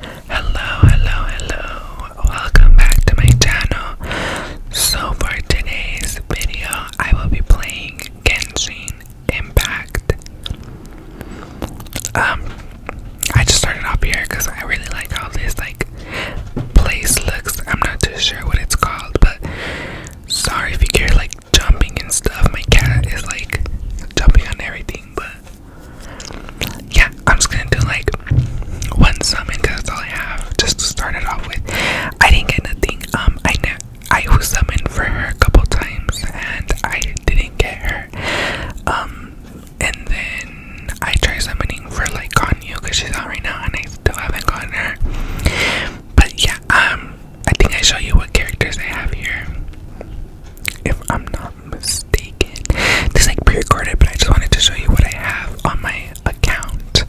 Hello, hello, hello. Welcome back to my channel. So for today's video, I will be playing Genshin Impact. Um I just started off here cuz I really like all this like place looks. I'm not too sure what it's called, but sorry if you hear like jumping and stuff. My cat is like jumping on everything, but yeah, I'm just gonna do like one summon because that's all I have just to start it off with. I didn't get nothing. Um, I ne I was summoned for her a couple times and I didn't get her. Um, and then I try summoning for like Ganyu because she's out right now and I still haven't gotten her. But yeah, um, I think I show you what characters I have here. If I'm not mistaken, this is like pre-recorded, but I just wanted to show you what I have on my account.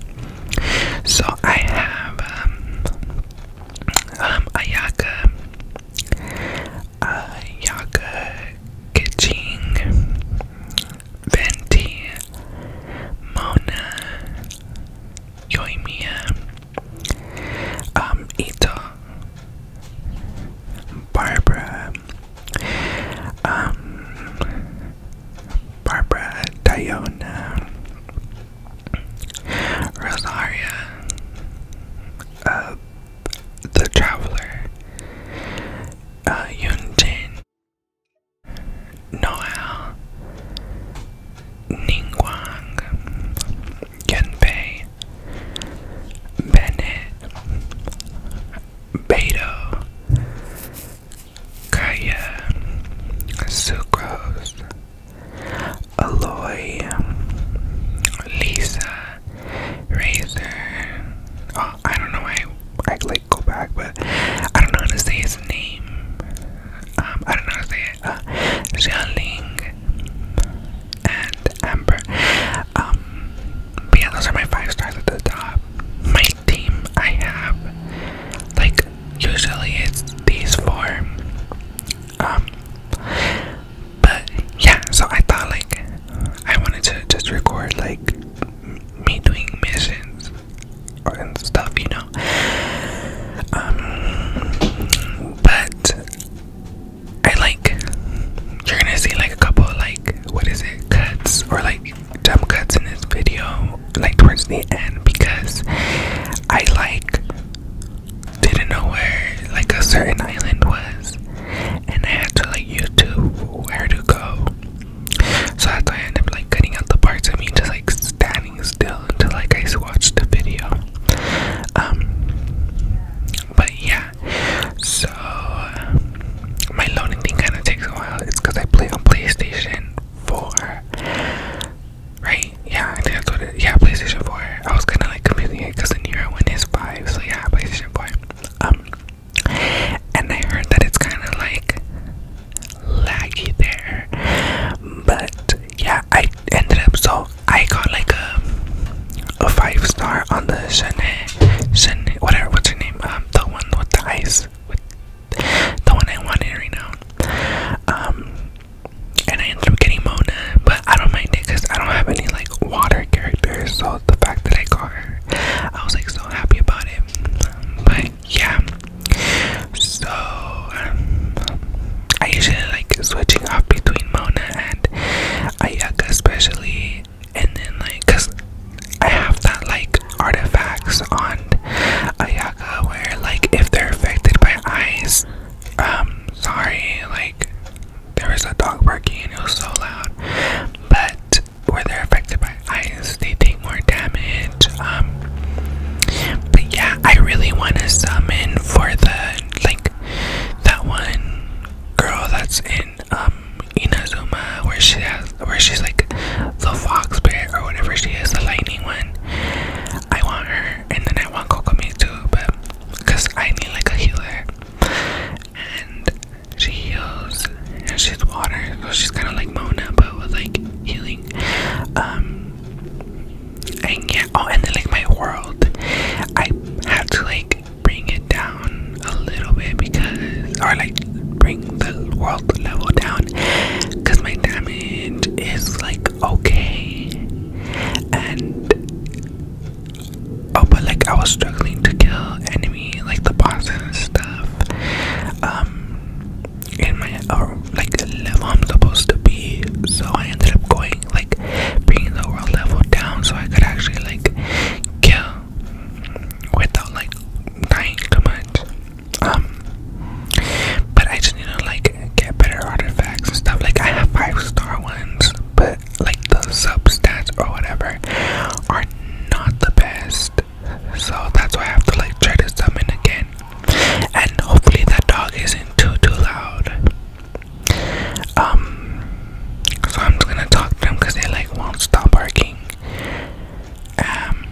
So I have um, um Ayaka, Ayaka Kitching, Venti, Mona, Yoimiya, um, Ito, Barbara, um, Barbara, Diona, Rosaria, uh, The Traveler, uh, Yunjin, Noel, Ningguang, Yanbei, Bennett, Beto, Kaya, Sucrose, Aloy, Lisa, Razor, oh, I don't know. why I like go back, but I don't know how to say his name. Um, I don't know how to say it. Uh, and Amber. Um, but yeah, those are my five stars at the top. My team, I have like usually it's these four. Um, but yeah, so I thought like I wanted to just record like me doing missions and stuff, you know. Um, but I like you're gonna see like a couple of, like what is it cuts or like jump cuts in this video, like towards the end because I like didn't know where like a certain island was and I had to like YouTube where to go so that's why I end up like cutting out the parts of me just like standing still until like I watched the video. Um, but yeah, so my loading thing kind of takes a while. It's because I play on PlayStation 4, right? Yeah, I think that's what it is. Yeah, PlayStation 4. I was kind of like confusing it because the newer one is 5, so yeah, PlayStation 4. Um, and I heard that it's kind of like laggy there, but yeah, I ended up so I got like a a five star on the Shane Shane whatever what's her name um the one with the ice with the one I wanted right now um and I ended up getting Mona but I don't mind it because I don't have any like water characters so the fact that I got her I was like happy about it. But yeah, so um, I usually like switching off between Mona and Ayaka, especially, and then like, cause I have that like artifacts on Ayaka where like if they're affected by eyes, um, sorry, like there was a dog barking and it was so loud, but where they're affected by ice, they take more damage. Um, but yeah, I really want to summon for the like that one girl that's in um, Inazuma, where she has, where she's like the fox bear or whatever she is, the lightning one. I want her, and then I want Kokomi too, but because I need like a healer. And she heals and she's water, so she's kind of like Mona, but with like healing. Um, and yeah, oh, and like my world, I had to like bring it down a little bit because, or like bring the world level down because my damage is like okay. And oh, but like I was struggling to kill enemy, like the bosses and stuff um in my or like level I'm supposed to be so I ended up going like bringing the world level down so I could actually like kill without like dying too much um but I just need to like get better artifacts and stuff like I have five star ones but like the sub stats or whatever are not the best so that's why I have to like try to summon again. And hopefully that dog isn't too too loud. Um, so I'm just gonna talk to them because they like won't stop barking. Um,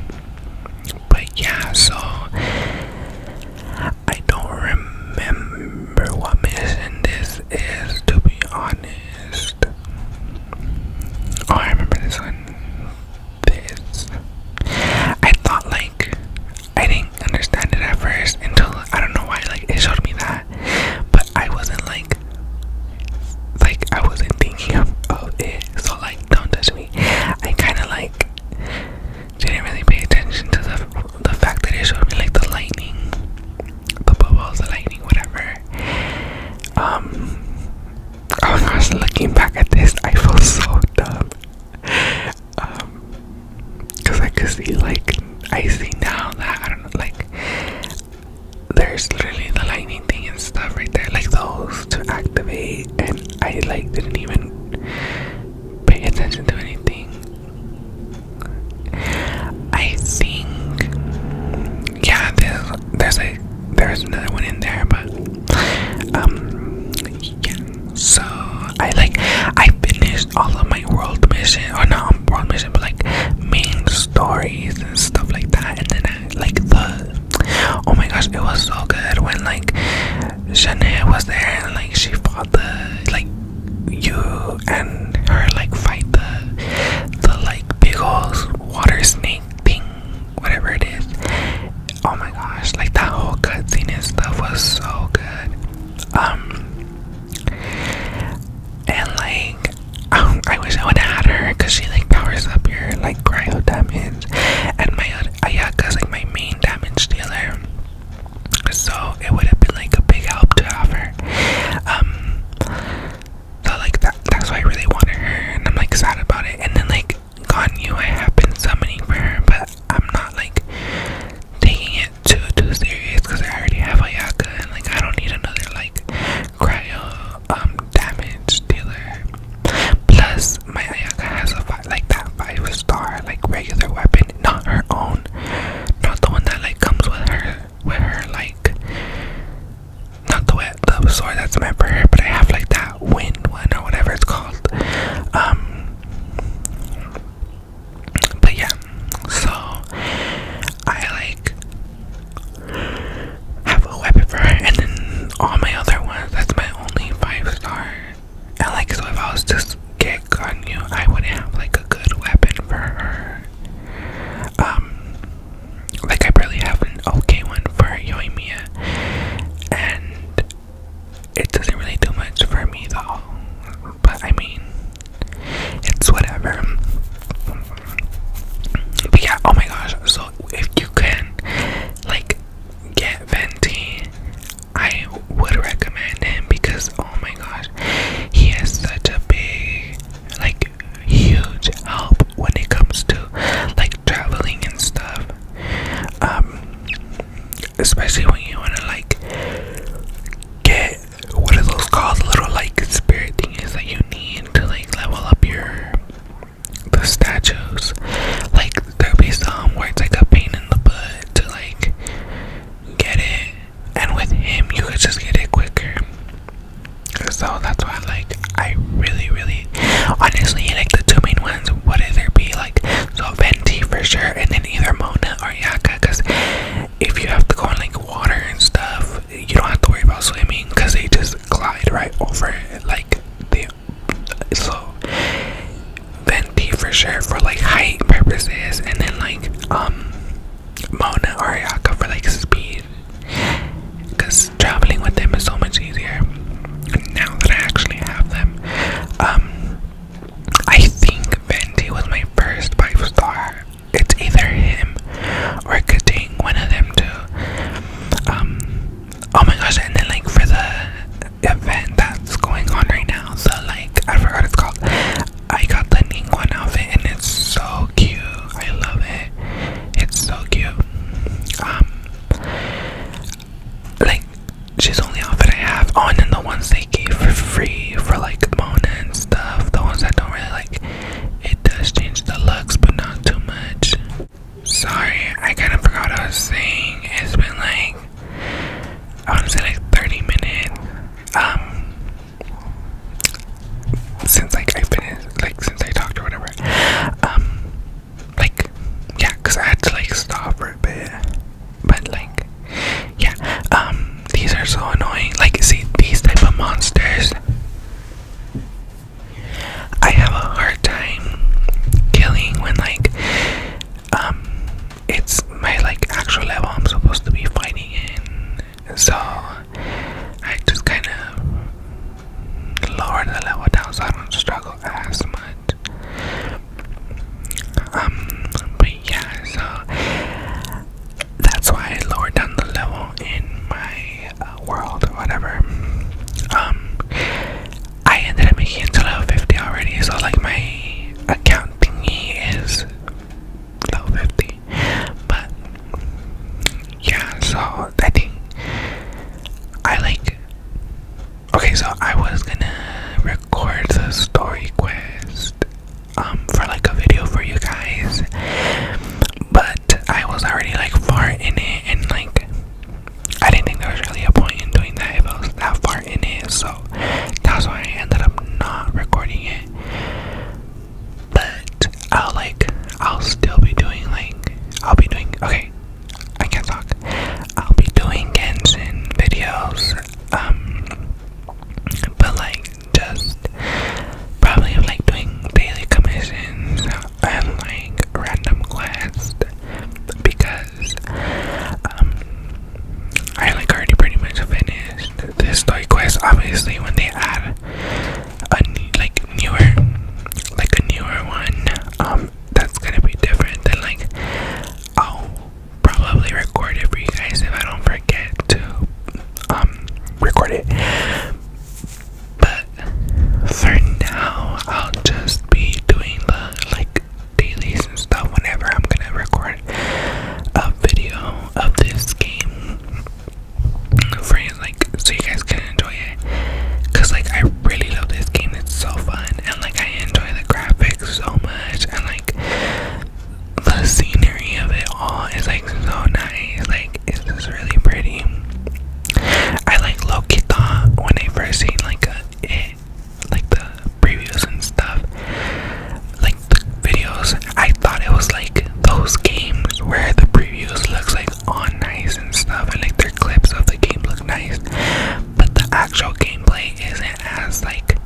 but yeah, so I don't remember what mission this is to be honest. Oh, I remember this one. This. I thought, like, I didn't understand it at first until I don't know why, like, it showed me that. But I wasn't, like, like, I wasn't thinking of, of oh, it. So, like, don't touch me. I kind of, like, didn't really pay attention to the, the fact that it showed me, like, the lightning, the bubbles, the lightning, whatever. Um, oh my gosh, looking back at this, I feel so dumb. Um, cause I could see like I see now that I don't know, like there's literally the lightning thing and stuff right there, like those to activate, and I like didn't even pay attention to anything. I think yeah, there's there's like there's another one in there, but um, yeah. So I like I finished all of my world mission, or not um, world mission, but like main stories and stuff like that. And then I like the oh my gosh, it was so good when like Shanae was there and like she fought the like you and her like fight the the like big old water snake ping, whatever it is. Oh my gosh, like that whole cutscene and stuff was so good. Um, and like, um, I wish I would have had her because she like powers up your like cryo damage, and my uh, yeah, cause like my main damage dealer. So it would have been like a big help to have her. Um, so like that, that's why I really wanted her, and I'm like sad about it. And then like God knew I have been summoning for her, but I'm not like taking it too too serious because I already have Ayaka, and like I don't need another like cryo um damage dealer. Plus my Ayaka has a five, like that five star like regular weapon, not her own, not the one that like comes with her with her like not the wet the sore that's my prayer, but I have like that wind one or whatever it's called. Um but yeah, so I like have a weapon for her and then all my other ones, that's my only five star. And like so if I was just kick on you, I wouldn't have like a good weapon for her. Um like, I barely have an okay one for Yoimiya, and it doesn't really do much for me though. But I mean, it's whatever. But yeah, oh my gosh, so if you can, like, get Venti, I would recommend him because oh my gosh, he has such a big like huge help when it comes to like traveling and stuff. Um, especially when you wanna like get what are those called? The little like spirit thing is that you need to like level up your the statues. Like there'll be some where it's like a pain in the butt to like get it. And with him, you could just get it quicker. So that's why, like, I really, really, honestly, like the two main ones What would there be like so Venti for sure, and then either Mona or Yaka. Cause if you have to go in like water and stuff, you don't have to worry about swimming, cause they just glide right over it, like they. So Venti for sure for like height purposes, and then like um Mona or Yaka for like speed because traveling with them is so much easier now that I actually have them. Um, I think Venti was my first five star. It's either him or Kating, one of them two. Um, oh my gosh, and then like for the event that's going on right now, the like, I forgot it's called. I got the Ning outfit and it's so cute. I love it. It's so cute. Um, like she's only offered a half on, and the ones they gave for free for like Mona and stuff. The ones I don't really like. It does change the looks, but not too much. Sorry, I kind of forgot I was saying. It's been like I want to say like 30 minutes. Um, since like I've been in, like since I talked or whatever, um, like yeah, cause I had to like stop for a bit, but like yeah, um, these are so annoying. Like see these type of monsters, I have a hard time killing when like um it's my like actual level I'm supposed to be fighting in so I just kind of lowered the level down so I don't struggle as much. Um, but yeah, so that's why I lowered down the level in my uh, world whatever. Um, I ended up making to level 50 already, so like my account thingy is level 50. But yeah, so I think I like. Okay, so I was gonna record the story quest um for like a video for you guys, but I was already like far in it and like. I didn't think there was really a point in doing that if I was that far in it, so that's why I ended up not recording it. But I'll like I'll still be doing like I'll be doing okay. I can't talk. I'll be doing Genshin videos. Um but like just probably like doing daily commissions and like random quests because um I like already pretty much finished this story quest obviously when they add a like newer, like a newer one. Um, that's gonna be different than like I'll probably record it for you guys if I don't forget to um record it. But for now, I'll just be doing the like dailies and stuff whenever I'm gonna record a video of this game for like so you guys can enjoy it because like i really love this game it's so fun and like i enjoy the graphics so much and like the scenery of it all is like so nice like it's just really pretty i like loki thought when i first seen like a, it like the previews and stuff like the videos I thought it was like those games where the previews look like on nice and stuff, and like their clips of the game look nice, but the actual gameplay isn't as like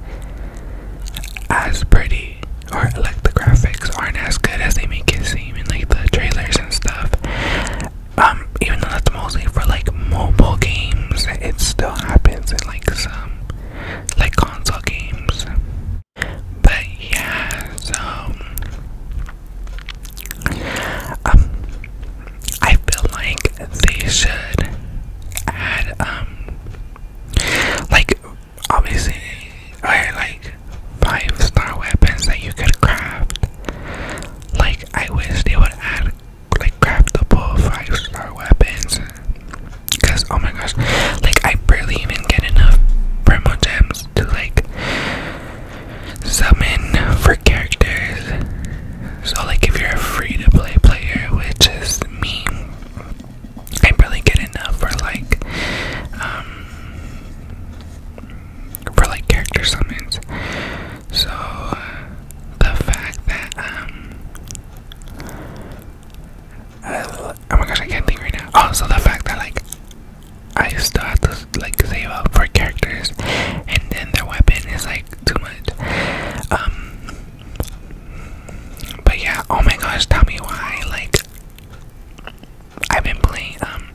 as pretty, or like the graphics aren't as good as they make it seem in like the trailers and stuff. Um, even though that's mostly for like mobile games, it still happens in like some like console games. But yeah, so um, um, I feel like they should add um, like obviously are like five star weapons that you could craft. Like I wish they would add like craftable five star weapons. Cause oh my gosh, like I barely even get enough primo gems to like summon for characters. So, like, if you're a free to play player, which is me, I barely get enough for like, um, for like character summons. So, the fact that, um, oh my gosh, I can't think right now. Also, oh, the fact that like I still have to like save up for characters, and then their weapon is like too much. Um, but yeah, oh my gosh, tell me why like I've been playing um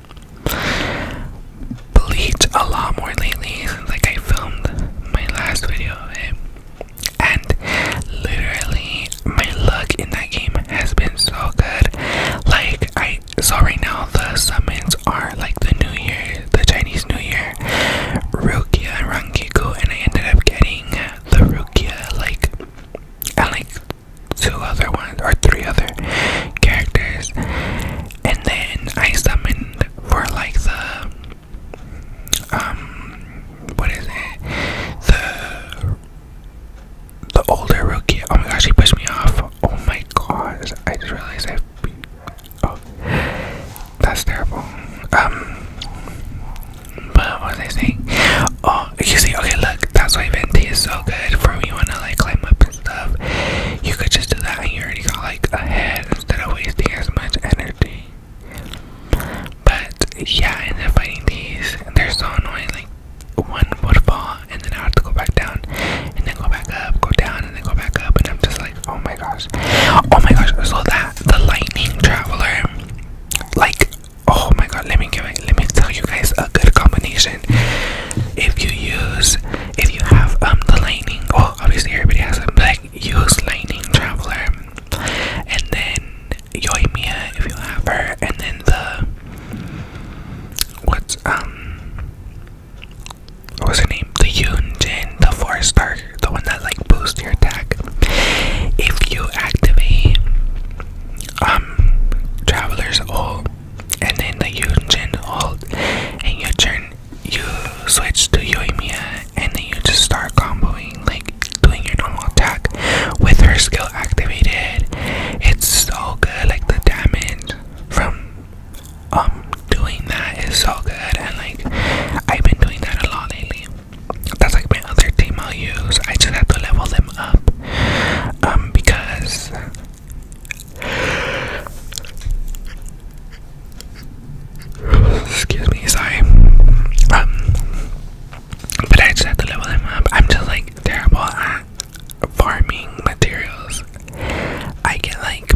Bleach a lot more lately since like I filmed my last video of And literally my luck in that game has been so good. Like I saw right now the summons are like the New Year, the Chinese New Year, Rukia and Rankiku, and I ended up getting the Rukia like and like two other ones or three other characters, and then I summoned for like the um what is it the the older rookie. Oh my gosh, he pushed me off. Oh my gosh, I just realized I. Oh, that's terrible. Um, but what was I saying? Oh, you see, okay, look, that's why Venti is so good for when you want to like climb up and stuff. You could just do that, and you already got like a head instead of wasting as much energy. But yeah, and then fighting these, they're so annoying. Like one waterfall and then I have to go back down and then go back up, go down and then go back up and I'm just like, oh my gosh. Oh my gosh, so that the lightning traveler like oh my god let me give it let me tell you guys a good combination. If you use if you have um the lightning well obviously everybody has it but like use lightning traveler and then Yoimiya if you have her, and then the what's um what's her name? The Yunjin, the four star, the one that like boosts your attack. If you activate um Traveler's ult and then the Yunjin ult and you turn you switch to Yoimiya and then you just start comboing like doing your normal attack with her skill activated. It's so good, like the damage from um doing that is so good and like I've been doing that a lot lately. That's like my other team I'll use. I just have to level them up. Um because Excuse me, sorry. Um but I just have to level them up. I'm just like terrible at farming materials. I get like,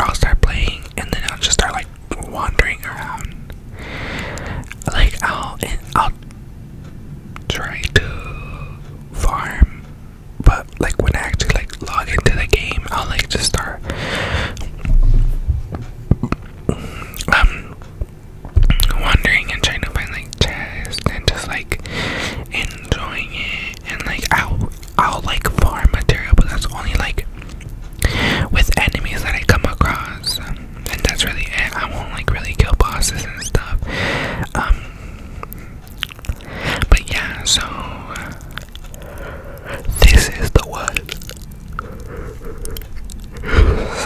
I'll start playing and then I'll just start like wandering around. Like I'll I'll try to farm, but like when I actually like log into the game, I'll like just start um, wandering and trying to find like chests and just like enjoying it and like I'll I'll like farm material but that's only like with enemies that I come across and that's really it. I won't like really kill bosses and stuff. Um but yeah so this is the one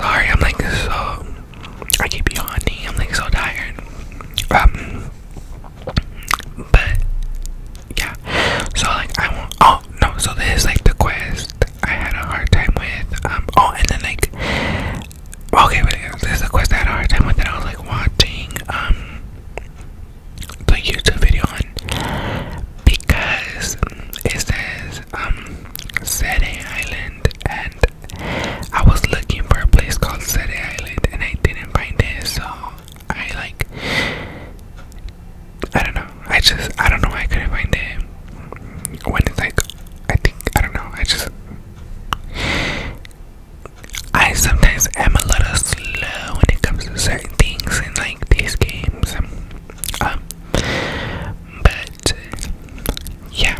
Sorry, I'm like so I keep yawning. I'm like so tired. Um, but yeah. So like I will Oh no. So this is like the quest I had a hard time with. Um. Oh, and then like. Okay, but this is a quest I had a hard time with. And I was like watching um the YouTube video on because it says was um Sete Island and I was looking for a place called Sete Island and I didn't find it so I like I don't know I just I don't know why I couldn't find it when it's like I think I don't know I just I sometimes am a little slow when it comes to certain things in like these games um but yeah.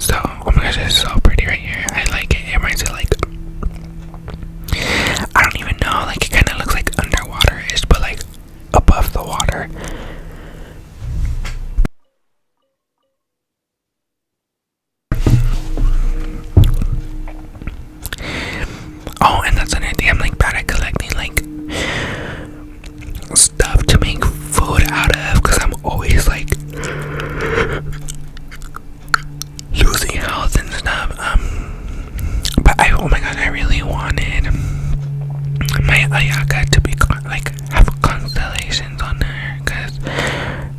So oh my gosh, it's so pretty right here. I like it. It reminds me like I don't even know. Like it kind of looks like underwater ish, but like above the water. Oh, and that's another thing. I'm like bad at collecting like stuff to make food out of because I'm always like losing health and stuff. Um, but I oh my god, I really wanted my Ayaka to be like have constellations on her because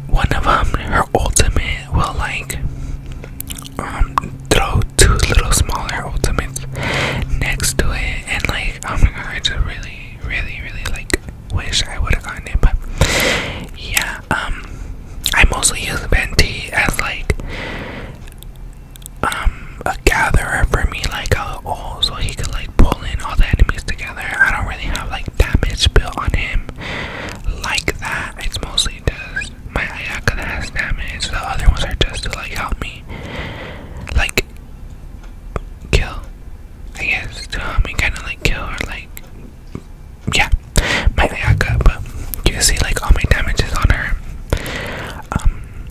one of them, her ultimate, will like um throw two little smaller ultimates next to it and like oh my god, I just really, really, really like wish I would have gotten it, but yeah, um, I mostly use Venti as like um a gatherer for me, like a oh, so he could like pull in all the enemies together. I don't really have like damage built on him like that. It's mostly just my Ayaka that has damage. The other ones are just to like help me like kill. I guess um, I kind of like kill her, like yeah, my Ayaka. But you see like all my damages on her. Um,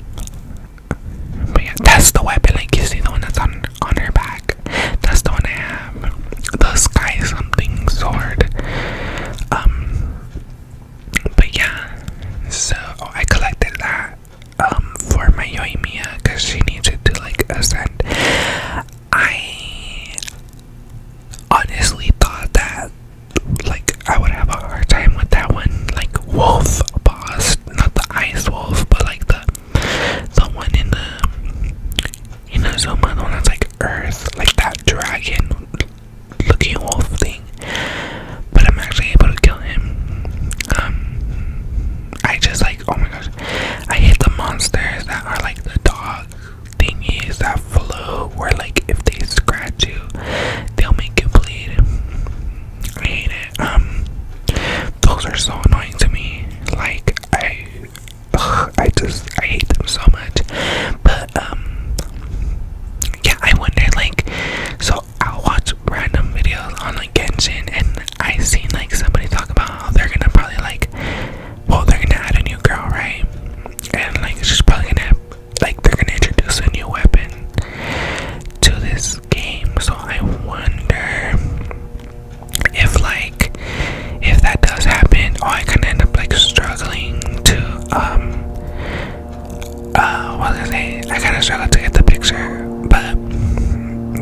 but yeah, that's the weapon. Like you see the one that's on on her back. That's the one I have. The sky something sword. Um, but yeah, so oh, I collected that um, for my Yoimiya because she needs it to like ascend. I honestly thought that like I would have a hard time with that one, like wolf boss, not the ice wolf, but like the the one in the you know so the one that's like earth, like that dragon looking wolf thing. But I'm actually able to kill him. Um, I just like, oh my gosh, I hate the monsters that are like the dog thingies that flow, where like if they scratch you, they'll make you bleed. I hate it. Um, those are so annoying to me. Like I, I just I hate them so much. But um, yeah, I wonder like, so I'll watch random videos on like Genshin, and I seen like somebody talk about how they're gonna probably like, well, they're gonna add a new girl, right? And like just probably gonna have, like they're gonna introduce a new weapon to this game. So I wonder if like if that does happen, or I can end up like struggling to um uh, what I saying? I kind of struggle to get the picture, but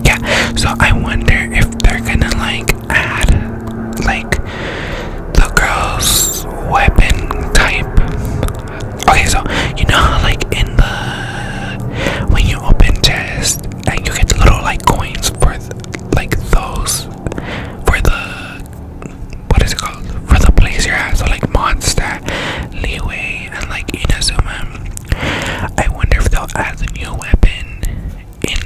yeah. So I wonder if they're gonna like add like the girl's weapon type. Okay, so you know how like in the when you open chest and you get the little like coins for like those for the. What is it called? For the place you're at, so like monster, leeway, and like in a Zoom, I wonder if they'll add a new weapon in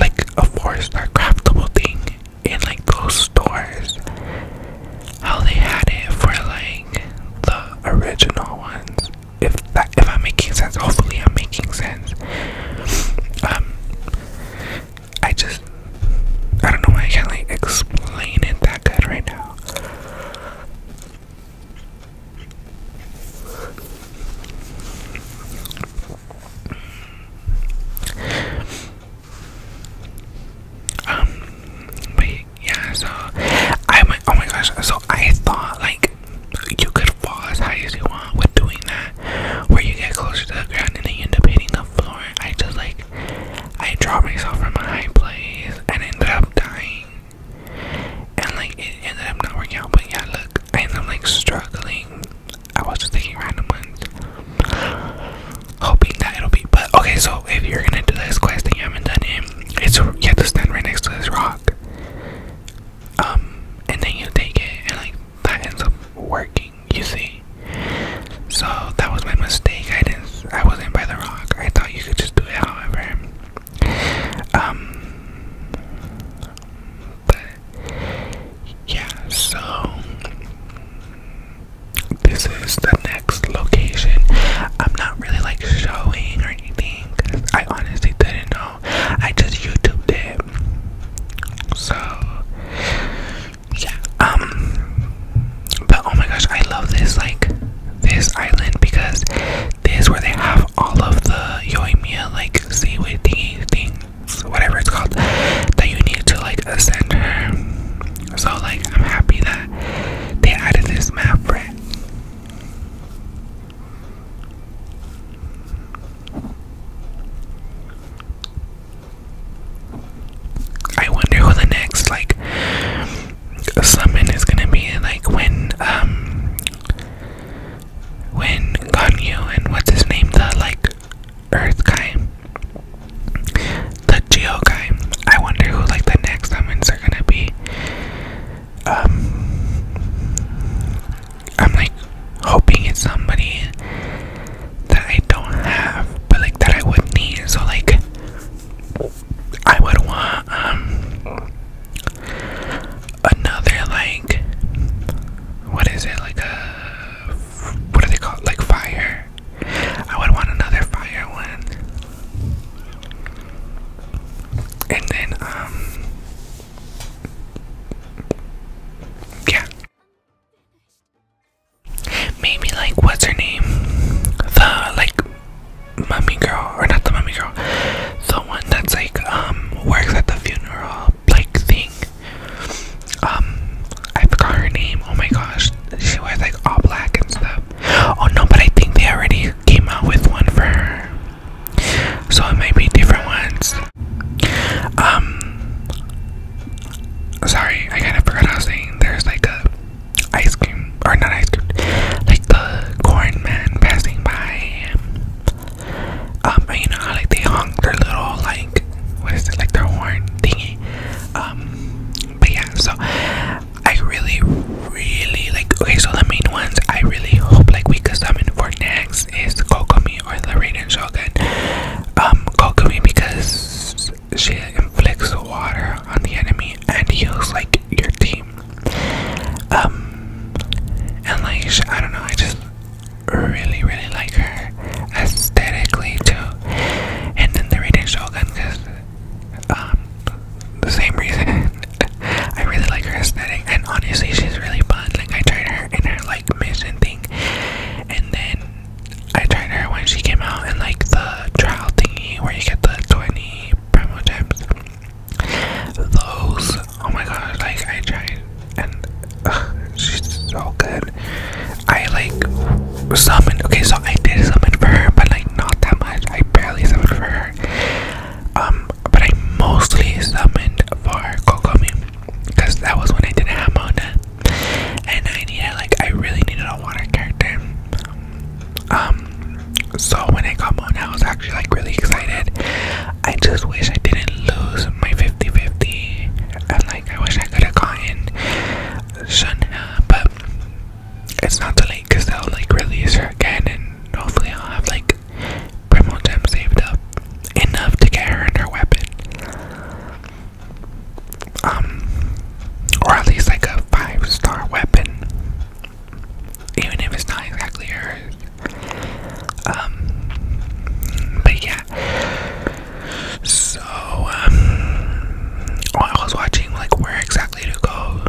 like a four star craftable thing in like those stores. How they had it for like the original ones. If that if I'm making sense, hopefully I'm making sense. Um I just I don't know why I can't like explain it that good right now. Um, but yeah, so I went, oh my gosh, so I thought like you could fall as high as you want with doing that, where you get closer to the ground and then you end up hitting the floor. I just like, I dropped myself from a high place and ended up dying. And like it ended up not working out, but yeah, look, I ended up like struggling. I was just taking random ones, hoping that it'll be. But okay, so if you're gonna do this quest and you haven't done it, it's you have to stand right next to this rock, um, and then you take it, and like that ends up working. You see, so that was my mistake. I didn't I wasn't by the rock. I thought you could just do it however. Um but yeah, so this is the next location. I'm not really like showing or anything I honestly didn't know. I just YouTubed it. So yeah, um but oh my gosh, I love this like this island because this is where they have all of the yoimiya like seaweed things, whatever it's called, that you need to like ascend her. So like I'm happy that they added this map I wonder who the next like summon is gonna be like when um when Ganyu and what's his name the like Earth guy, the Geo guy. I wonder who like the next summons are gonna be. Um, I'm like hoping it's somebody that I don't have, but like that I would need. So like, I would want um another like what is it like a what are they called like fire? I would want another fire one. And then um yeah. Maybe like what's her name? The like mummy girl, or not the mummy girl, the one that's like um works at the funeral like thing. Um, I forgot her name. Oh my gosh, she wears like all black and stuff. Oh no, but I think they already came out with one for her, so it might be different ones. Um, sorry, I kind of forgot I was saying. There's like a ice cream or not ice cream like the corn man passing by um you know like they honk their little like what is it like their horn thingy um but yeah so i really really like okay so the main ones i really hope like we could summon for next is kokomi or the raiden shogun um kokomi because she inflicts water on the enemy and heals like your team. Um, and like, I don't know, I just really, really like her aesthetically too. And then the reading Shogun, because, um, the same reason. I really like her aesthetic, and honestly, she's really fun. Like, I tried her in her like mission thing, and then I tried her when she came out in like the trial thingy where you get the 20 any promo tips. Those, oh my god, like I tried and uh, she's so good. I like summoned, okay, so I did summon for her, but like not that much. I barely summoned for her. Um, but I mostly summoned for Kokomi because that was when I didn't have Mona and I needed, like, I really needed a water character. Um, so when I got Mona, I was actually like really excited. I just wish I didn't lose my 50 50. And like, I wish I could have gotten Shania, but it's not too late because they'll like release her again. And hopefully, I'll have like Primal Gem saved up enough to get her and her weapon um, or at least like a five star weapon, even if it's not exactly hers. Um, but yeah. So, um, I was watching like where exactly to go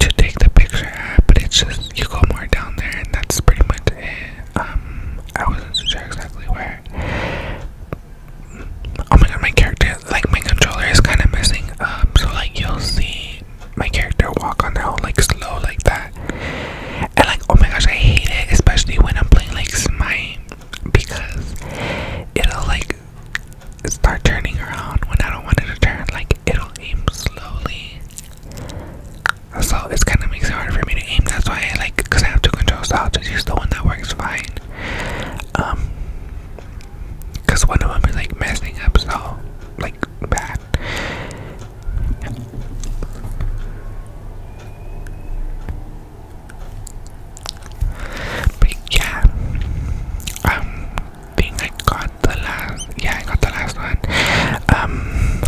to take the picture at, but it's just you go more down there, and that's pretty much it. Um, I wasn't sure exactly where, oh my god, my character, like my controller is kind of messing up. So like you'll see my character walk on the own like slow like that. And like oh my gosh, I hate it, especially when I'm playing like Smite because it'll like start turning around when I don't want it to turn. Like it'll aim slowly. So it's kind of makes it hard for me to aim. That's why I like because I have two controls. I'll just use the one that works fine. Um, Cause one of them is like messing up so like bad. But yeah, um, think I got the last. Yeah, I got the last one. Um,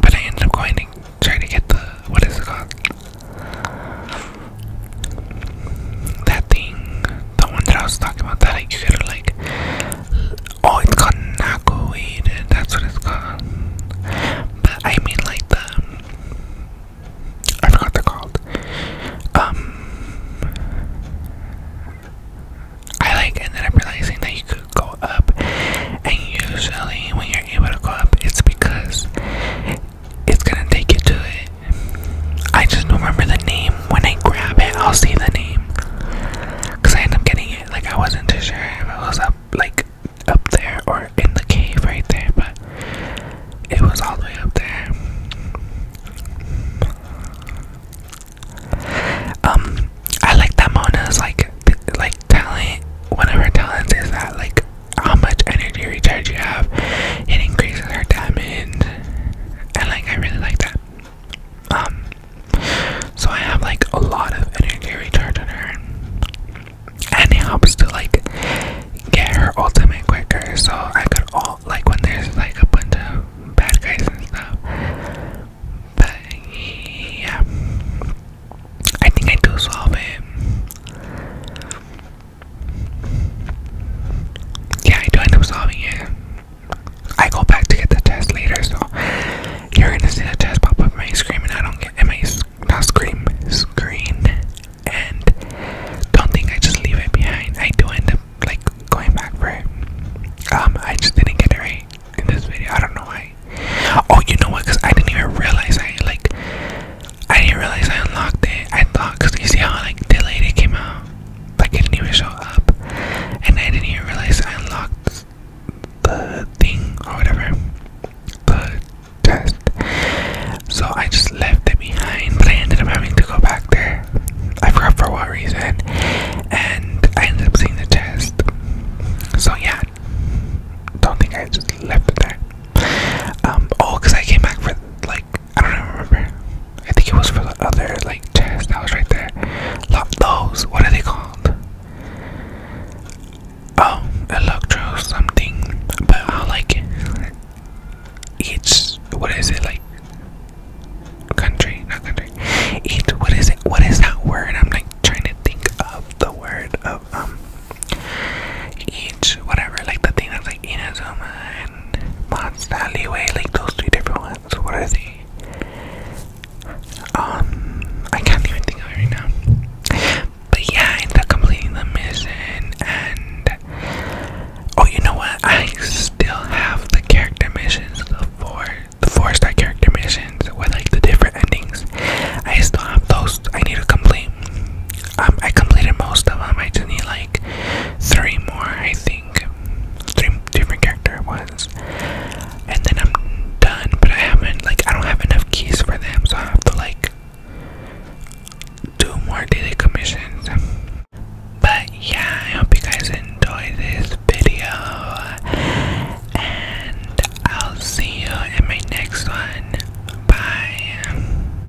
but I ended up going to try to get the what is it called? that thing, the one that I was talking about, that like you gotta like, oh, it's called naco weed. That's what it's called. But I mean like the, I forgot they're called. Um, I like ended up realizing that you could go up, and usually when you're able to go up, it's because it's gonna take you to it. I just don't remember the name. When I grab it, I'll see the name. Cause I end up getting it. Like I wasn't too sure if it was up, like up there or in the cave right there, but it was all the way up there. Um, I like that Mona's like, like talent. One of her talents is that like how much energy recharge you have. It increases her damage, and like I really like that. Um, so I have like a lot of energy recharge on her, and it helps to like get her ultimate quicker. So I could all like when there's like a bunch of bad guys and stuff. But yeah, I think I do solve it. Yeah, I do end up solving it. I go back to get the test later, so you're gonna see the test pop up my screen, and I don't get my not scream screen, and don't think I just leave it behind. I do end up like going back for it. Um, I just didn't get it right in this video. I don't know why. Oh, you know what? Cause I didn't even realize I like I didn't realize I unlocked it. I thought, cause you see how like delayed it came out, like it didn't even show up, and I didn't even realize I unlocked the thing or whatever, the test. So I just left it behind, but I ended up having to go back there. I forgot for what reason, and I ended up seeing the test. So yeah, don't think I just left it there. Um, oh, cause I came back for like. I don't even remember. I think it was for the other like test that was right there. Love those. What are they called? Oh, electro something. But I like each. What is it like? Country, not country. Each. What is it? What is that word? I'm like trying to think of the word of um. Each whatever like the thing that's like Inazuma and like those two different ones. What are they? Um, I can't even think of right now. But yeah, I ended up completing the mission, and oh, you know what? I still have the character missions, the four, the four-star character missions with like the different endings. I still have those. I need to complete. Um, I completed most of them. I just need like three more, I think. Three different character ones, and then I'm done. But I haven't like I don't have enough keys for them, so I have to like do more daily commissions. But yeah, I hope you guys enjoy this video, and I'll see you in my next one. Bye.